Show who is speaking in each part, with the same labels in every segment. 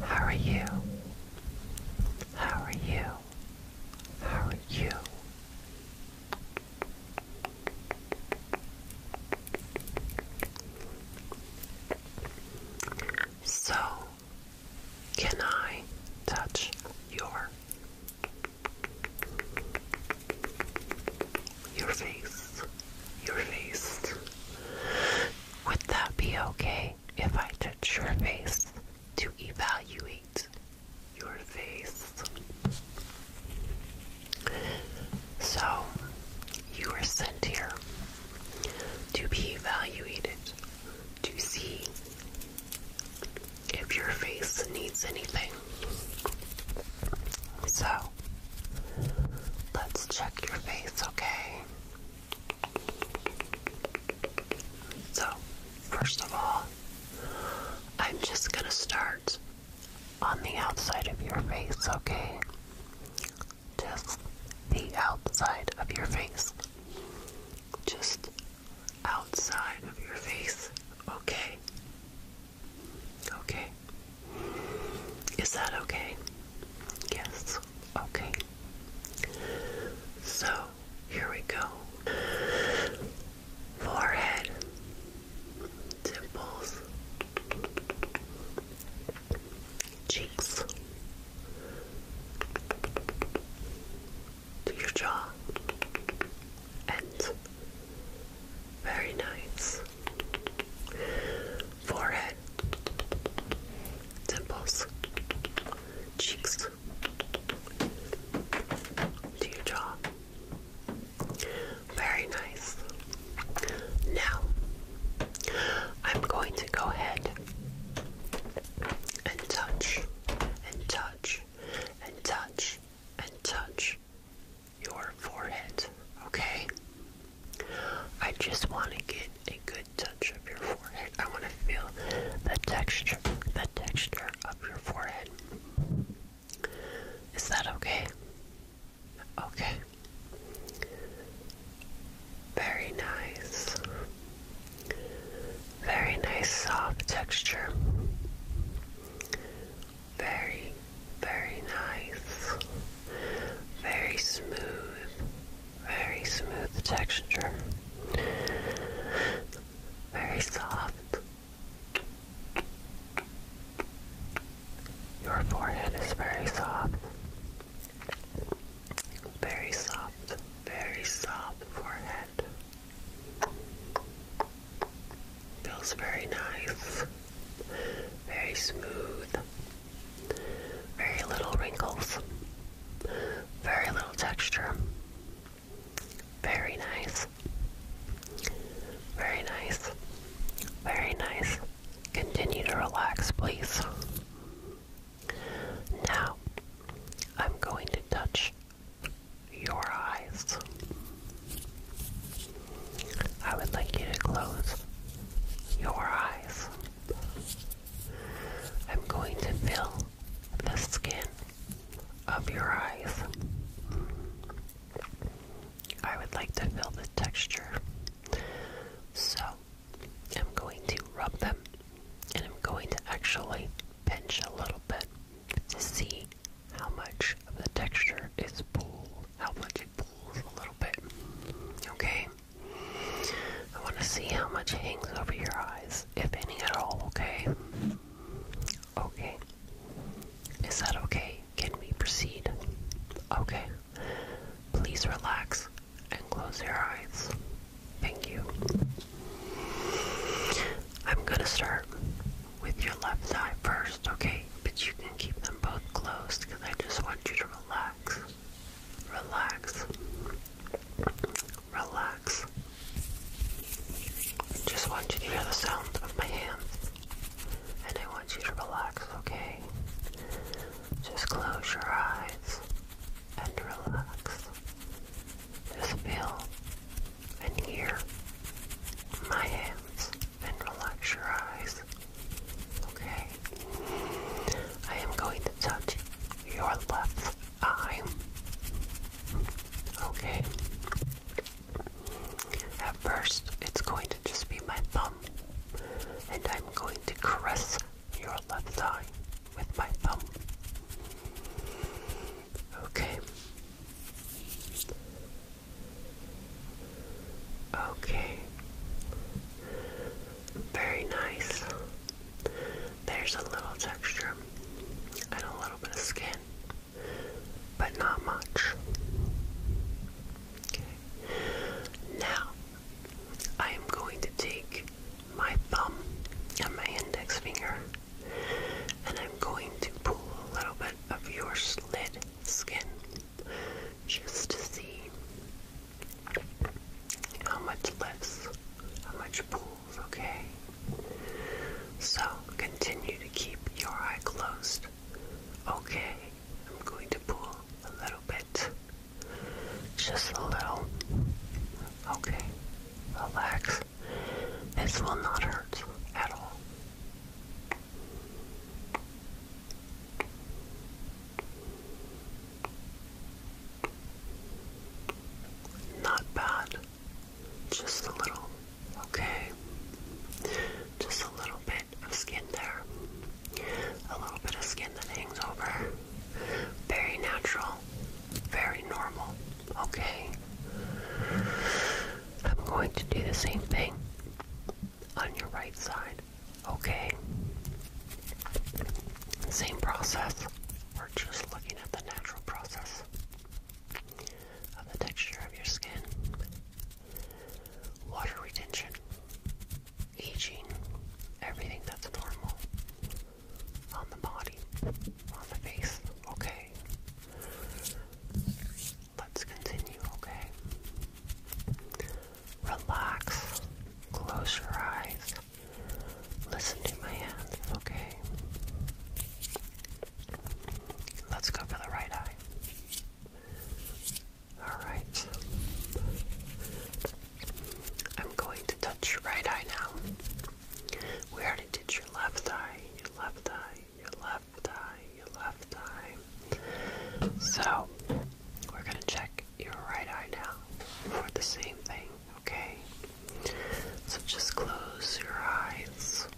Speaker 1: How are you? How are you? How are you? So, can I touch your your face? Your face. Would that be okay? if I touch your face to evaluate your face. So, you are sent here to be evaluated to see if your face needs anything. So, let's check your face, okay? So, first of all, I'm just going to start on the outside of your face, okay? Just the outside of your face. Just outside of your face, okay? Okay. Is that okay? Yes. Okay. So here we go. Forehead, temples, cheeks, to your jaw, and very nice forehead, temples, cheeks, to jaw. Very nice. Now, I'm going to go ahead and touch and touch and touch and touch your forehead, okay? I just want to get a good touch of your forehead. I want to feel the texture, the texture of your forehead. Is that okay? Okay. Very nice. Very nice soft texture. Very, very nice. Very smooth. Very smooth texture. Very soft. Your forehead is very soft. Very soft. Very soft forehead. Feels very nice. Very smooth. Very little wrinkles. Very little texture. Very nice. Very nice. Very nice. Continue to relax, please. Now, I'm going to touch your eyes. I would like you to close your eyes. I'm going to fill the skin of your eyes. I would like to feel the texture. So I'm going to rub them and I'm going to actually pinch a little bit to see how much of the texture is pulled, how much it pulls a little bit. Okay? I want to see how much hangs over your eyes, if any at all, okay? Okay. Is that okay? Can we proceed? Okay. Please relax and close your eyes. Thank you. I'm gonna start with your left eye first, okay? But you can keep them both closed because I just want you to relax relax, relax. Just want you to hear the sound of my hands, and I want you to relax, okay? Just close your eyes and relax. Just feel and hear my hands and relax your eyes. Okay? I am going to touch your left eye. Okay. At first, it's going to just be my thumb, and I'm going to caress your left eye with my thumb. Okay. Okay. Very nice. There's a little texture and a little bit of skin, but not much. Now, I am going to take my thumb and my index finger, and I'm going to pull a little bit of your slit skin just to see how much lifts, how much pulls, okay? So continue to keep your eye closed. Okay, I'm going to pull a little bit. Just a little. Okay, relax. This will not hurt at all. Not bad. Just a little. Okay. Just a little bit of skin there. A little bit of skin that hangs over. Very natural. Very normal. Okay. I'm going to do the same thing on your right side. Okay. Same process. We're just looking at the natural process of the texture of your skin. Water retention, aging, everything that's normal on the body, on the face. Okay. Let's continue, okay? Relax. Close your eyes. Listen to my hands, okay? Let's go for the right eye. Alright. I'm going to touch your right eye now. We already did your left eye, your left eye, your left eye, your left eye. So, we're going to check your right eye now for the same thing, okay? So just close your eyes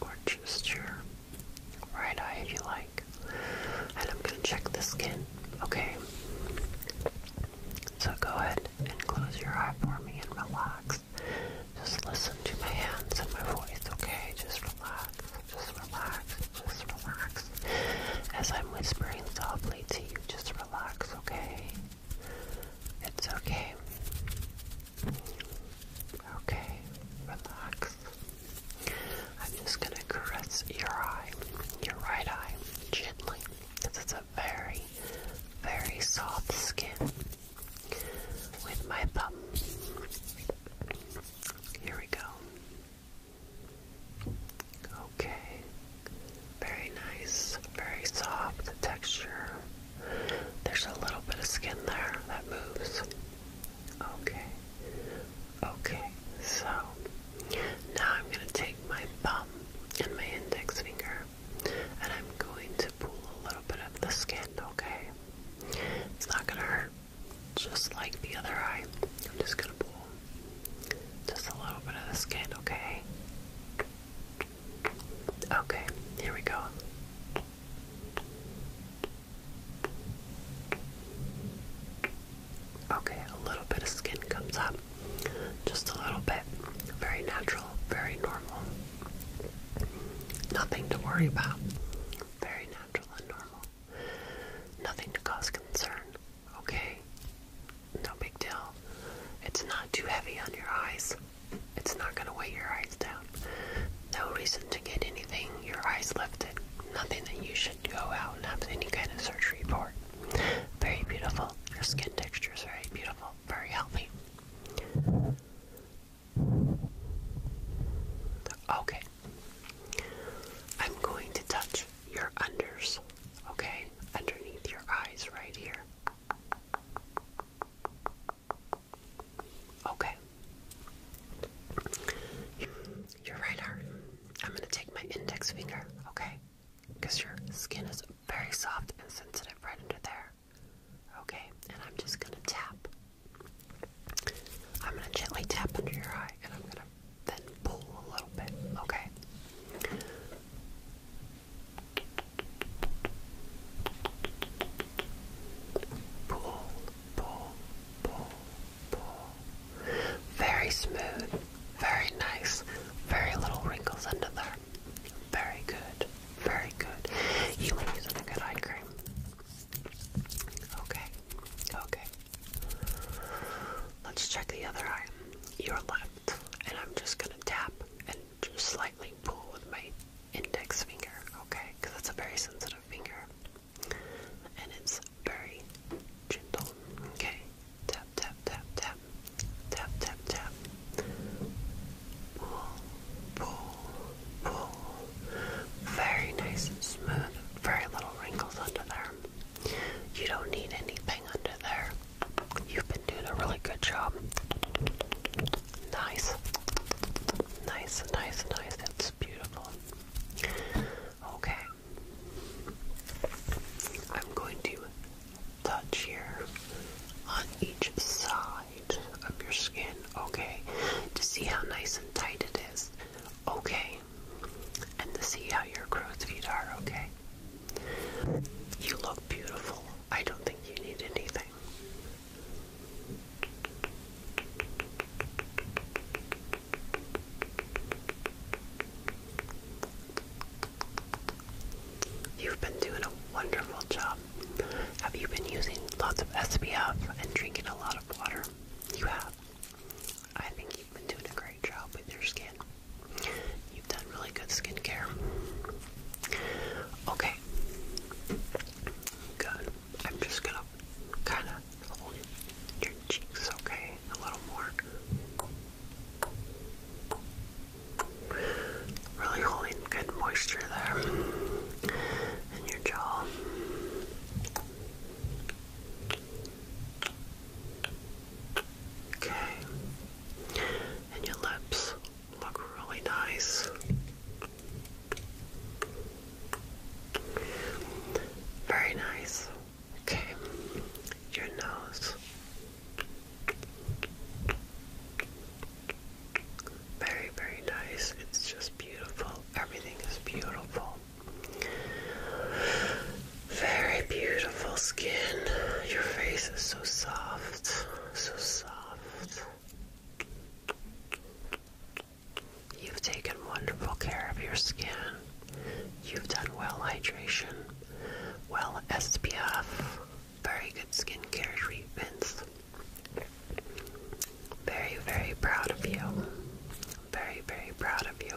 Speaker 1: or just your right eye if you like. And I'm going to check the skin, okay? So go ahead and close your eye for me and relax. Just listen to my hands and my voice, okay? Just relax, just relax, just relax. As I'm whispering softly to you, just relax relax, okay? It's okay. Okay, relax. I'm just gonna caress your eye, your right eye, gently, it's a very, very soft skin. With my thumb. Here we go. Okay, very nice, very soft texture. There's a little bit of skin there that moves. Okay, okay, so now I'm going to take my thumb and my index finger and I'm going to pull a little bit of the skin, okay? It's not going to hurt, just like the other eye. I'm just going to pull just a little bit of the skin, okay? Okay, here we go. Okay, a little bit of skin comes up. Just a little bit. Very natural, very normal. Nothing to worry about. Very natural and normal. Nothing to cause concern. Okay? No big deal. It's not too heavy on your eyes. It's not going to weigh your eyes down. No reason to get anything, your eyes lifted. Nothing that you should go out and have any kind of surgery for. Very beautiful. Your skin texture is very beautiful, very healthy. Okay. I'm going to touch your unders, okay? underneath your eyes right here. Okay. Your right arm. I'm going to take my index finger, okay? Because your skin is very soft and sensitive right under there. Okay, and I'm just going to tap. I'm going to gently tap under your eye and I'm going to then pull a little bit, okay? Pull, pull, pull, pull. Very smooth, very nice, very little wrinkles under there. Very good, very good. You were using a good eye cream. Okay, okay. Let's check the other eye, your left. And I'm just gonna tap and just slightly pull with my index finger, okay? Because it's a very sensitive finger. And it's very gentle, okay? Tap, tap, tap, tap. Tap, tap, tap. Pull, pull, pull. Very nice smooth. Very little wrinkles under there. You don't need anything under there. You've been doing a really good job. Nice. Nice, nice, nice. That's beautiful. Okay. I'm going to touch here on each side of your skin, okay? To see how nice and tight it is, okay? And to see how your crow's feet are, okay? You look beautiful. I don't think you need anything. You've been doing a wonderful job. Have you been using lots of SPF and drinking a lot of water? You have. I think You've been doing a great job with your skin. You've done really good skincare. Okay. Good. I'm just gonna kind of hold your cheeks, okay? A little more. Really holding good moisture there. And your jaw. Okay and your lips look really nice. Very nice. Okay, your nose. Very, very nice. It's just beautiful. Everything is beautiful. Very beautiful skin. Your face is so soft, so soft. You've taken wonderful care of your skin. You've done well hydration, well SPF, very good skincare treatments. Very, very proud of you. Very, very proud of you.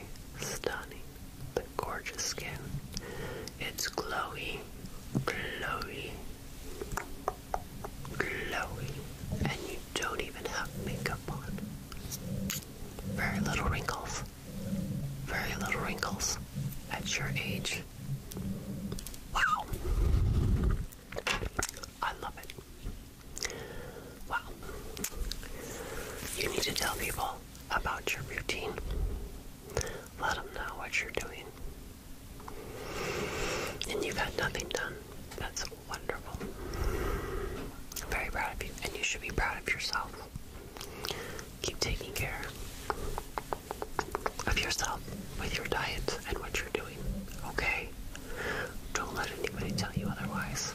Speaker 1: stunning. The gorgeous skin. It's glowy, glowy, glowy, and you don't even have makeup on. Very little wrinkles. Very little wrinkles at your age. Wow. I love it. Well, you need to tell people about your routine. Let them know what you're doing. And you have got nothing done. That's wonderful. I'm very proud of you, and you should be proud of yourself. Keep taking care of yourself with your diet and what you're doing, okay? Don't let anybody tell you otherwise.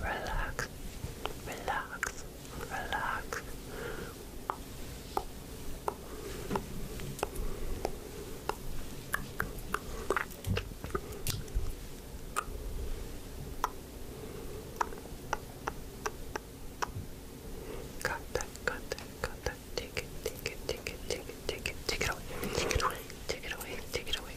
Speaker 1: relax, relax, relax. Got that, got that, got that. Take it, take it, take it, take it, take it, take it away, take it away, take it away, take it away,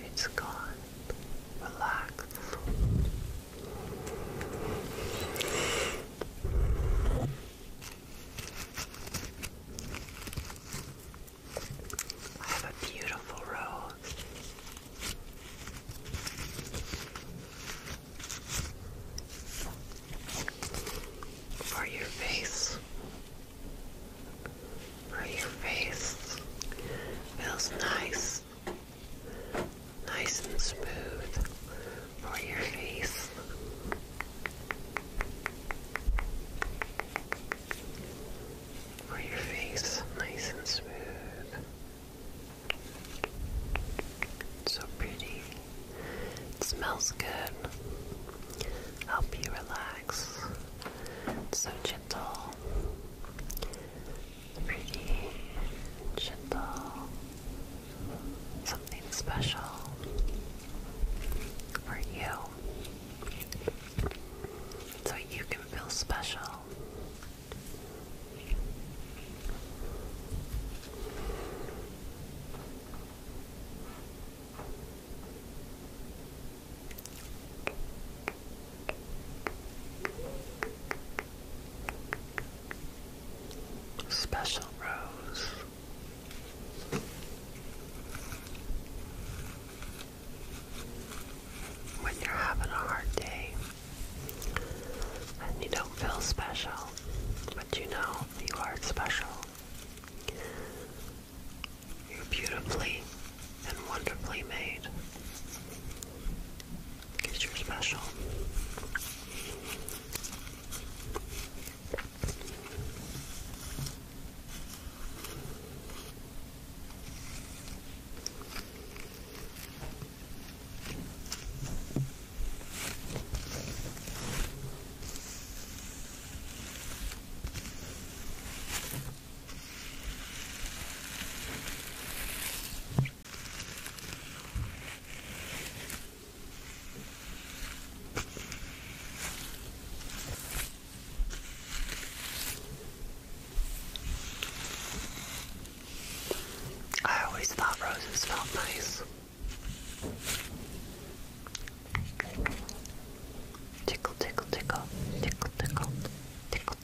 Speaker 1: It's gone. Relax. I have a beautiful rose. For your face, for your face feels nice nice and smooth for your face. For your face, nice and smooth. So pretty. It smells good. Help you relax. so gentle pretty gentle, something special for you, so you can feel special. Special Rose. When you're having a hard day and you don't feel special, but you know you are special. You're beautifully and wonderfully made. Because you're special. I always thought roses felt nice. Tickle, tickle, tickle, tickle, tickle, tickle,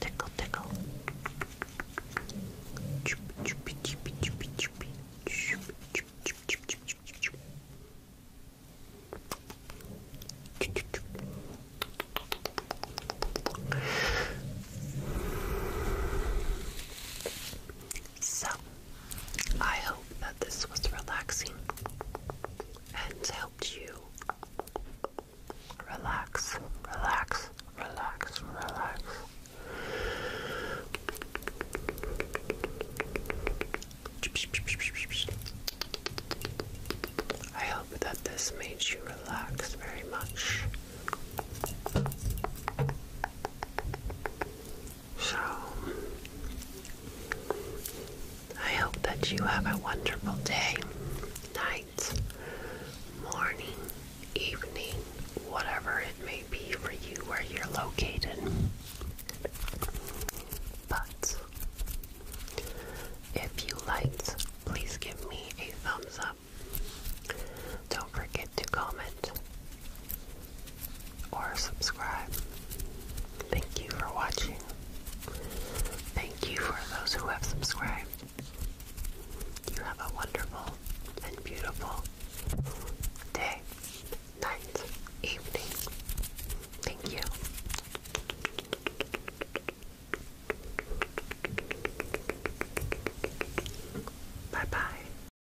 Speaker 1: so, I hope that this was relaxing and helped you Relax, relax, relax, relax. I hope that this made you relax very much. So, I hope that you have a wonderful day, night morning, evening, whatever it may be for you where you're located. But if you liked, please give me a thumbs up. Don't forget to comment or subscribe. Thank you for watching. Thank you for those who have subscribed. You have a wonderful and beautiful day, night, evening. Thank you. Bye bye.